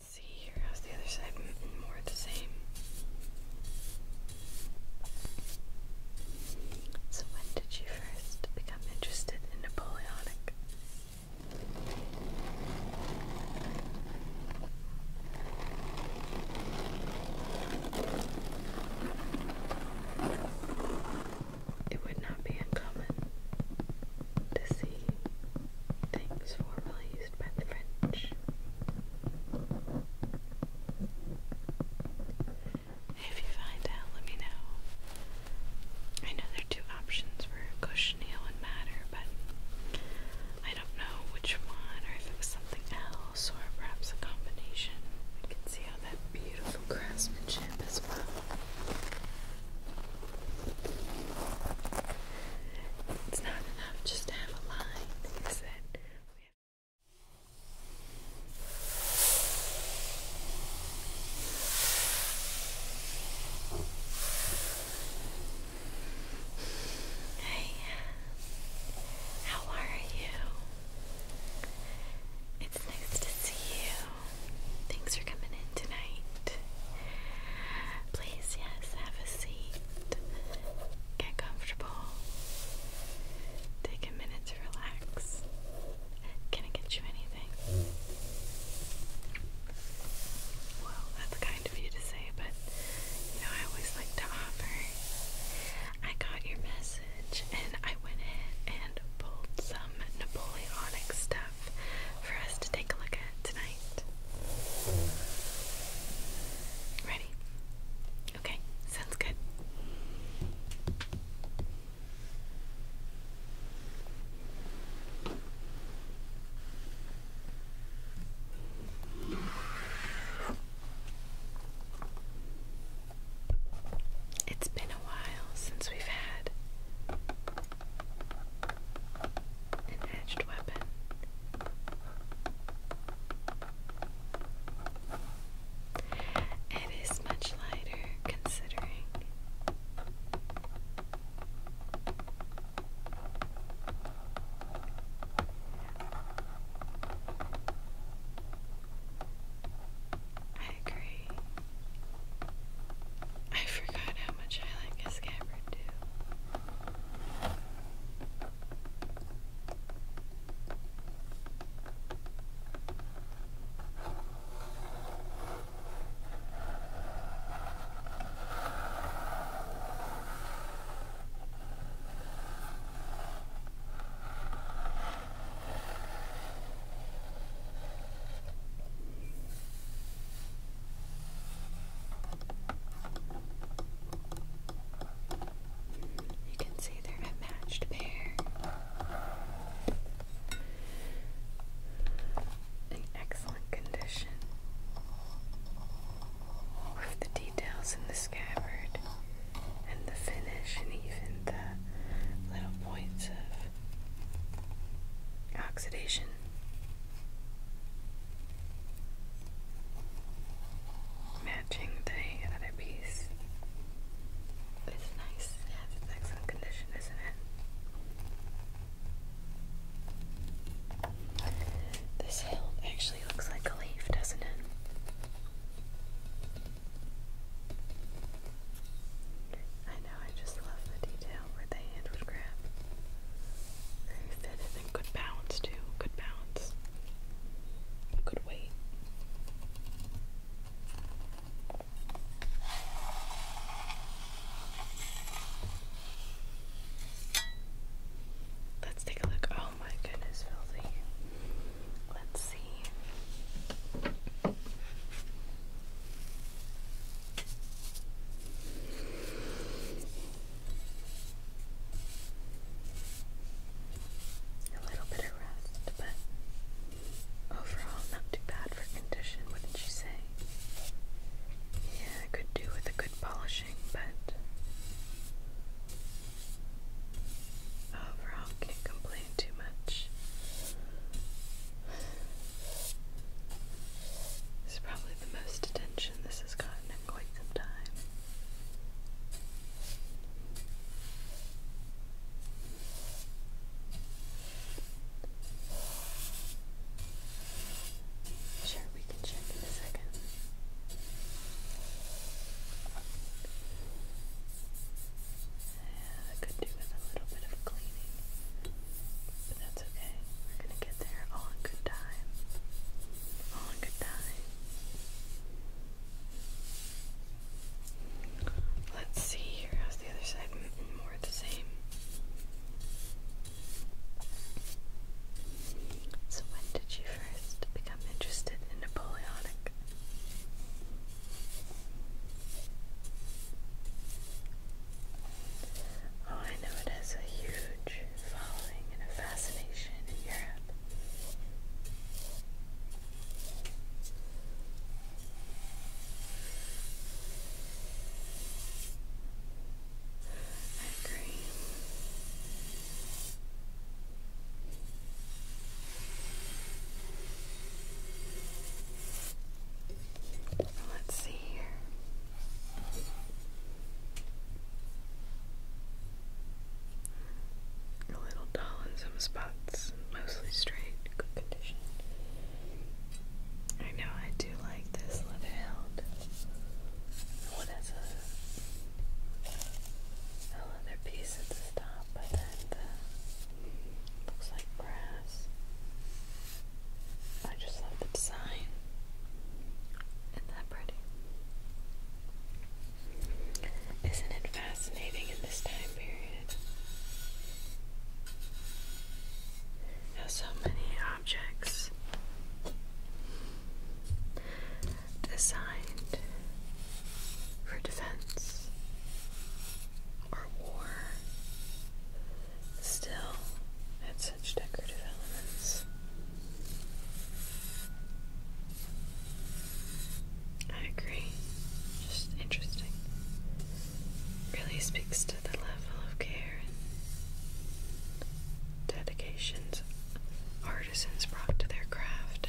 see here, how's the other side? More of the same. So, when did you first become interested in Napoleonic? It would not be uncommon to see things formerly used by the French. If you find out, let me know. I know there are two options for cochineal and madder, but I don't know which one, or if it was something else, or perhaps a combination. I can see all that beautiful craftsmanship as well. It's not enough just to have a line, Hey, how are you? It's nice to see you. Thanks for coming in tonight. Please, yes, have a seat. Get comfortable. Take a minute to relax. Can I get you anything? Well, that's kind of you to say, but you know, I always like to offer. I got your message and I went in and pulled some Napoleonic stuff for us to take a look at tonight. Ready? Okay, sounds good. It's been a while since we've had an edged weapon. It is much lighter considering. I agree. I forgot how much I like a scabbard too. You can see they're a matched pair. In excellent condition. With the details in the scabbard and the finish and even the little points of oxidation matching the other piece. It's nice. Yeah, has its excellent condition, isn't it? This hill actually looks like a leaf, doesn't it? know, I just love the detail where the hand would grab. Very fitted and good balance too. Good balance. Good weight. Let's take a look. Oh my goodness, filthy. Let's see. A little bit of rest, but overall not too bad for condition, wouldn't you say? Yeah, could do with a good polishing, but overall can't complain too much. This is probably the most attention this has gotten in quite some time. Sure, we can check in a second. Yeah, I could do with a little bit of cleaning, that's okay. We're gonna get there all good time. All good time. Let's see here. How's the other side? More the same. So, when did you first become interested in Napoleonic? Oh, I know it has a huge following and a fascination in Europe. I agree. Let's see here. A little dull in some spots, mostly straight, good condition. I know I do like this leather hound. What has a, leather piece at the top, but then looks like brass. I just love the design. Isn't that pretty? Isn't it fascinating in this time period? How so many objects designed for defense or war still had such decorative elements. I agree. Just interesting. Really speaks to the level of care and dedications artisans brought to their craft.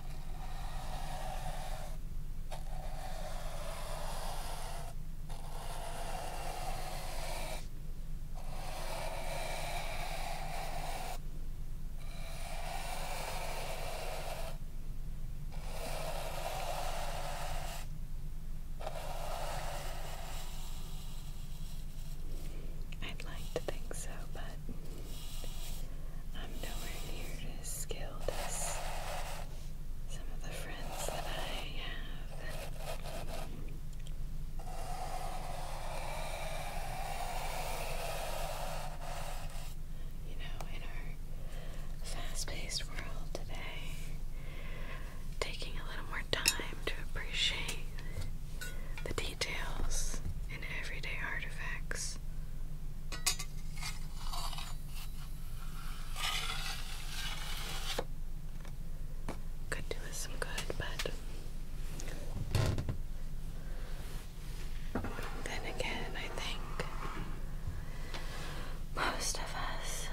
I'd like to think so, but I'm nowhere near as skilled as some of the friends that I have. You know, in our fast paced world today, taking a little more time to appreciate the details in everyday artifacts. Could do us some good, but then again, I think most of us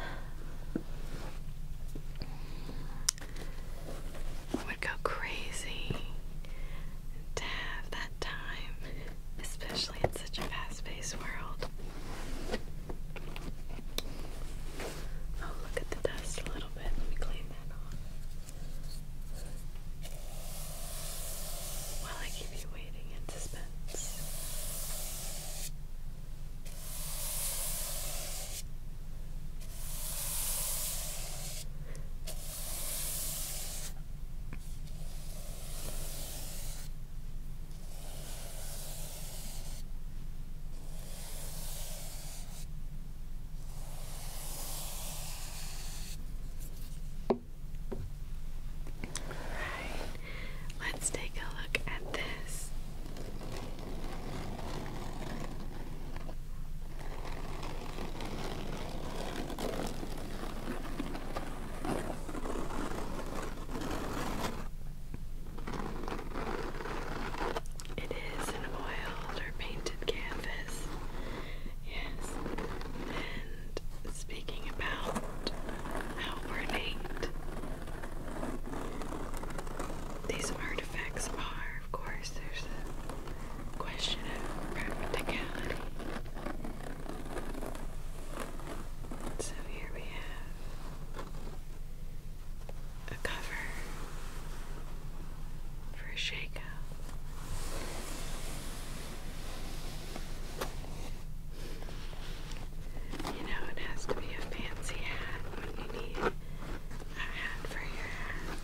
would go crazy to have that time, especially in such a fast paced world. Oh, look at the dust a little bit. Let me clean that off. While I keep you waiting in suspense. Right, let's take a look at this. It is an oiled or painted canvas. Yes. And speaking about how these artifacts are, of course, there's question of practicality. So here we have a cover for a shakeout. You know, it has to be a fancy hat when you need a hat for your hat.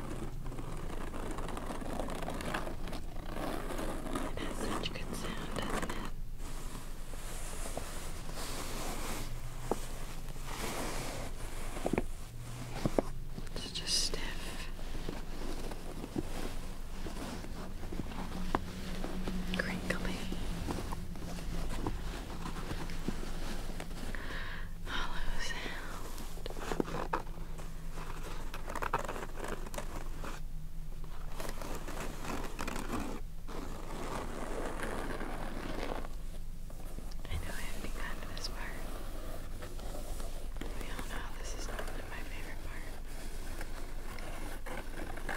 It has such good sound, doesn't it? Such a stiff. Crinkly hollow sound. I know I have begun this part. We all know this is often my favorite part. But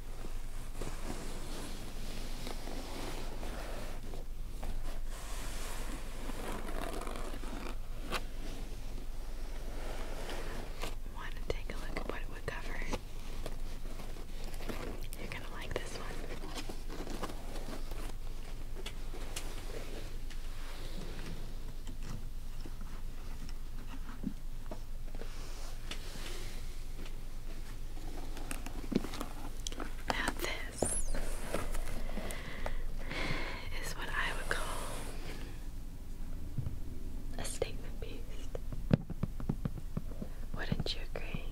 Want to take a look at what it would cover? You're going to like this one this is what I would call a statement piece. Wouldn't you agree?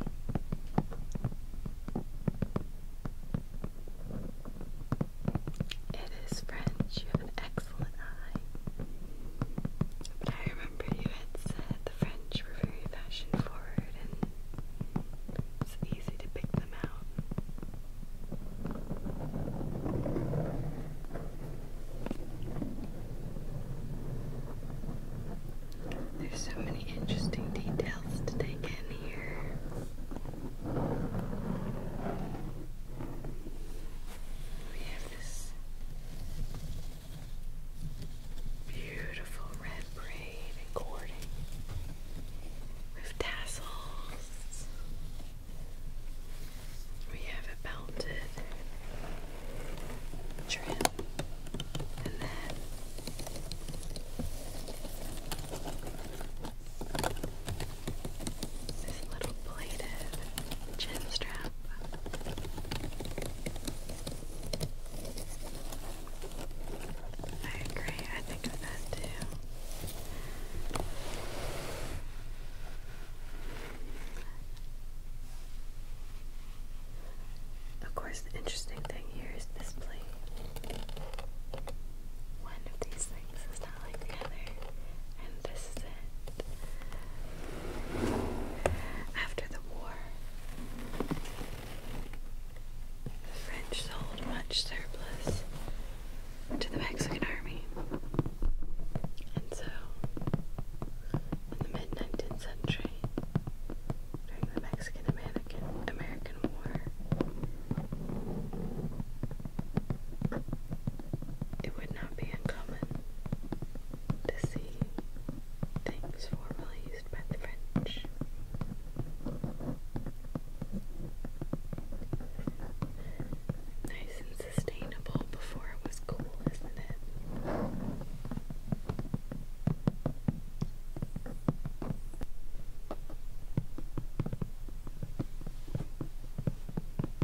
It is French. You have an excellent eye. But remember you had said the French were very fashion forward and it's easy to pick them out. There's so many interesting details to take in here. We have this Beautiful red braid and cording with tassels. We have a belted trim and then this little plated chin strap. I agree, I think of that too. Of course, the interesting thing here is this plate. One of these things is not like the other, and this is after the war, the French sold much surplus to the Mexican army. And so, in the mid 19th century, during the Mexican American War, it would not be uncommon to see things formerly used by the French. Nice and sustainable before it was cool, isn't it?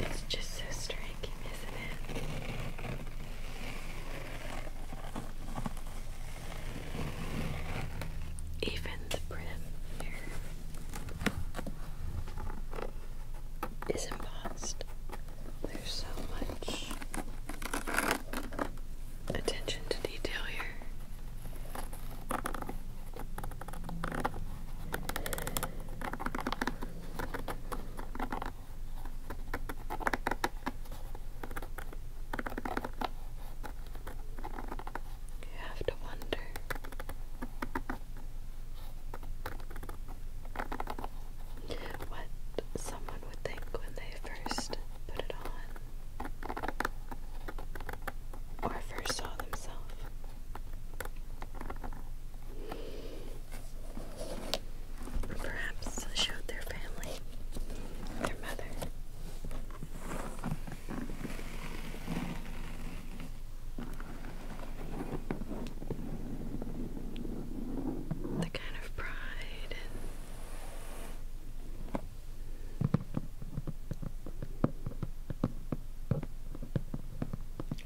It's just so striking, isn't it? Even the print here is embossed. There's so much attention to detail here. You have to wonder. What someone would think when they first put it on or first saw themselves. Perhaps showed their family, their mother. The kind of pride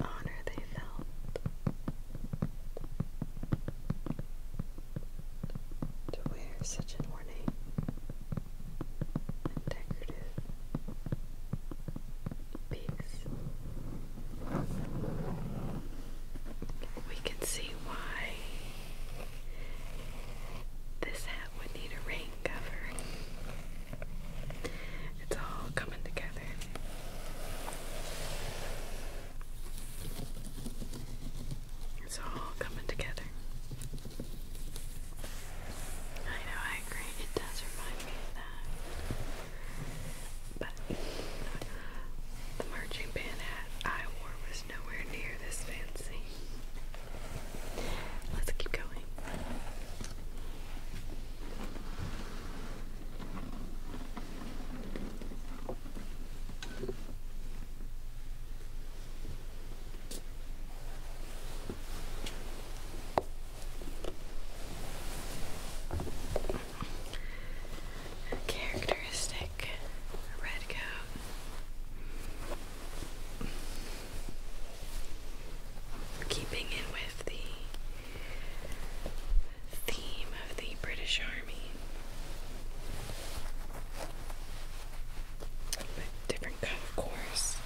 honor they felt. To wear such an ornate decorative piece, we can see why this hat would need a rain cover. It's all coming together. It's all coming together. I know, I agree. It does remind me of that but the marching band hat I wore was nowhere near this fancy. Let's keep going characteristic red coat. Keeping in with the theme of the British Army, but different cut, of course.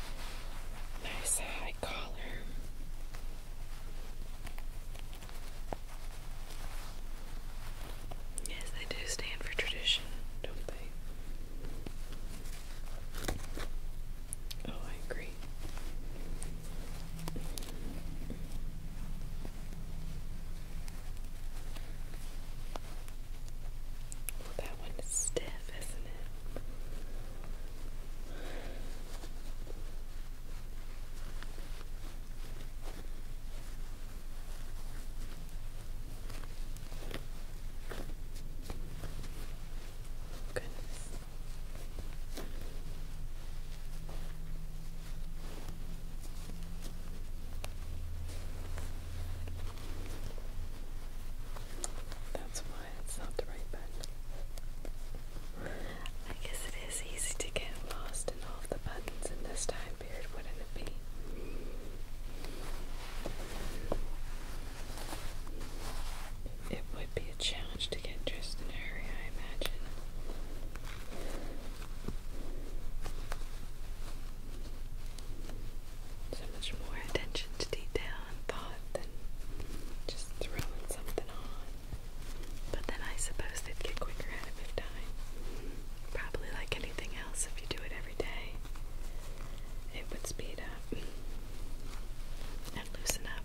Nice high collar. Yes, they do stand for tradition, don't they? Oh, I agree. Well, that one stiff, isn't it? That's why it's not the right button. I guess it it's easy to get lost in all of the buttons in this time period, wouldn't it be? It would be a challenge to get dressed in a hurry, I imagine. So much more attention to detail and thought than just throwing something on. But then I suppose they'd get quicker at it Probably like anything else, if you do it every day, it would speed up and loosen up.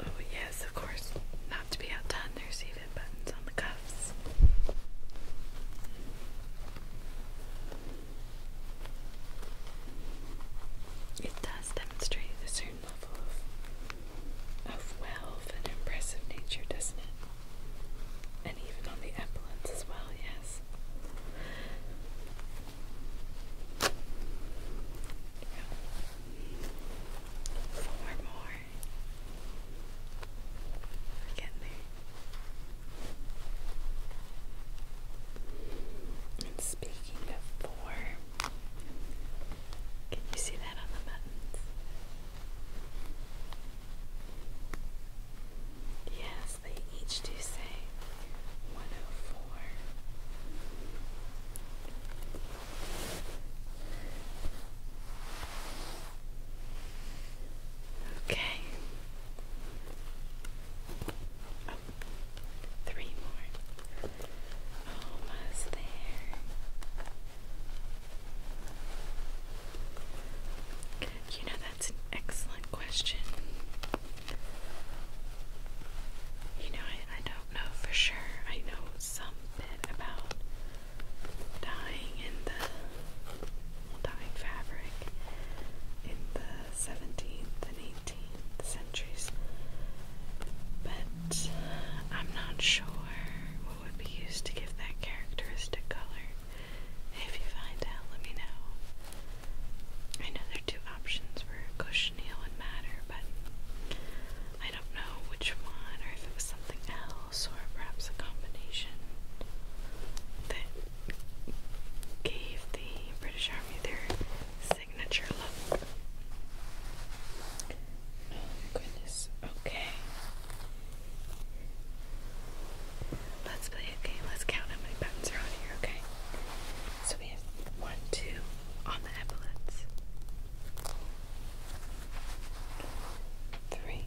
Oh, yes, of course. Not to be outdone, there's even buttons on the cuffs. It does demonstrate a certain level of, wealth and impressive nature, doesn't it? And even on the epaulets as well, yes. Four more. We're getting there speaking of four, can you see that on the buttons? Yes, they each do say 104. Okay, Oh, three more. Almost there. You know, that's an excellent question. You know, I, I don't know for sure. I know some bit about dying in the dye fabric in the 17th and 18th centuries, but I'm not sure what would be used to give that characteristic color. If you find out, let me know. I know there are two options for cochineal and madder, but I don't know which one, or if it was something else, or perhaps a combination that gave the British Army their signature look. Oh, okay. Let's play a game. Let's count how many buttons are on here, okay? So we have one, two on the epaulets. Three,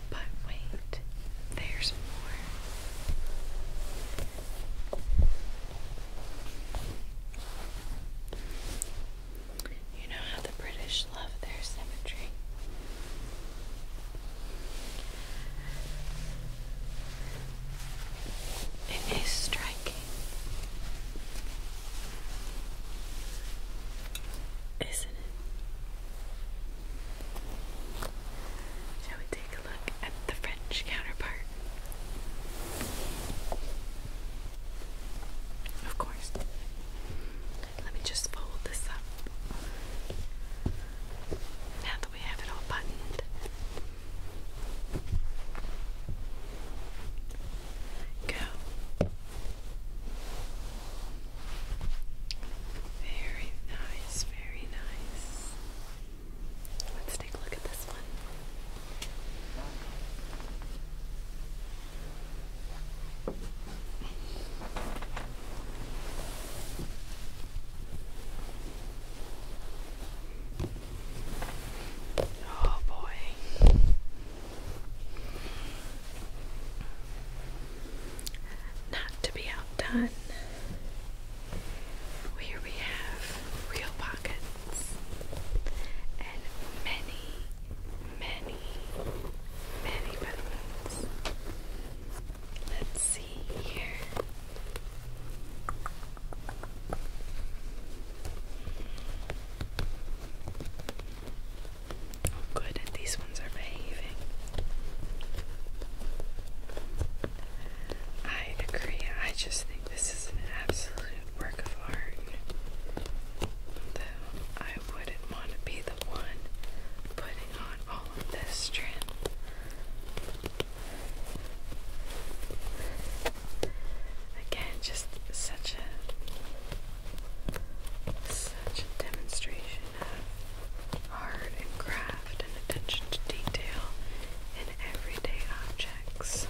But wait, there's more. You know how the British love their symmetry? It is striking. Isn't it? Shall we take a look at the French counterpart? Of course. Let me just fold this up. Now that we have it all buttoned, go. Very nice, very nice. Let's take a look at this one. Oh boy. Not to be outdone, here we have real pockets and many, many, many buttons. Let's see here. Oh, good, these ones are behaving. I agree. I just think this is an absolute work of art. Though I wouldn't want to be the one putting on all of this trim. Again, just such a such a demonstration of art and craft and attention to detail in everyday objects.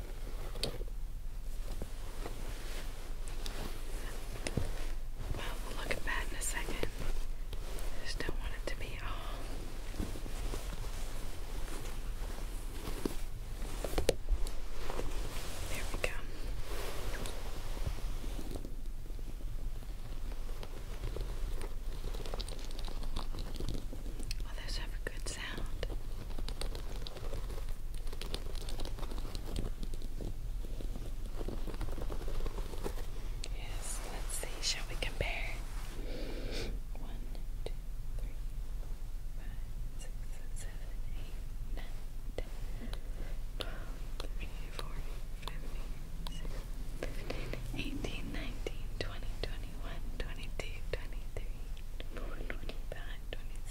Well, we'll look at that in a second. just don't want it to be all. There we go. Others have a good Yes, let's see, shall we compare? One, two, three, five, six, seven, eight, nine, ten, twelve, thirteen, fourteen, fifteen, sixteen, eighteen, nineteen, twenty, twenty-one, twenty-two, twenty-three, twenty-four, twenty-five, twenty-six.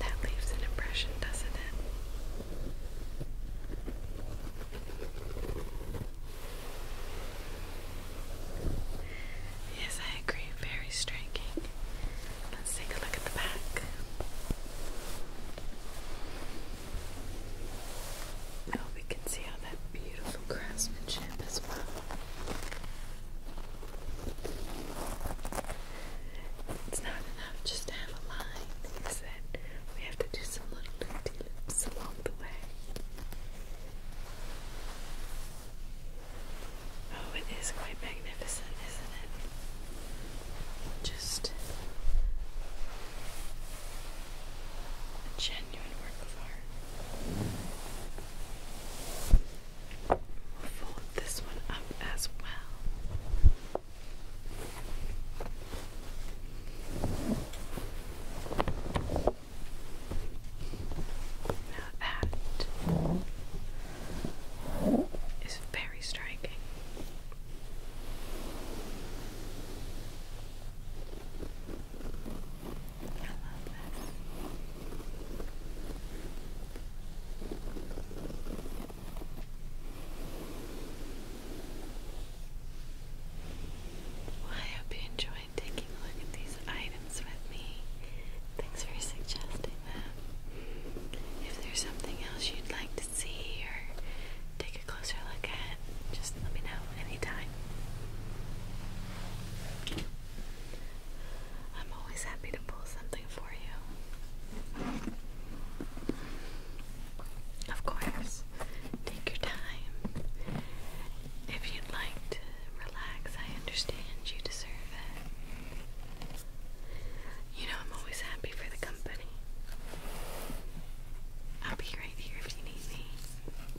That leaves an impression, doesn't it? Yes, I agree. Very striking. Let's take a look at the back. Oh, we can see all that beautiful craftsmanship as well. It's not enough just to have a line, he said. We have to do some little loopy along the way. Oh, it is quite magnificent, isn't it? Just a genuine work of art fold this one up as well. Now that is very striking. I love this. I hope you enjoyed taking a look at these items with me. Thanks for suggesting them. If there's something else you'd like to see or take a closer look at, just let me know anytime. I'm always happy to pull something for you. Of course, take your time. If you'd like to relax, I understand you deserve it. You know, I'm always happy for the company. I'll be right here if you need me.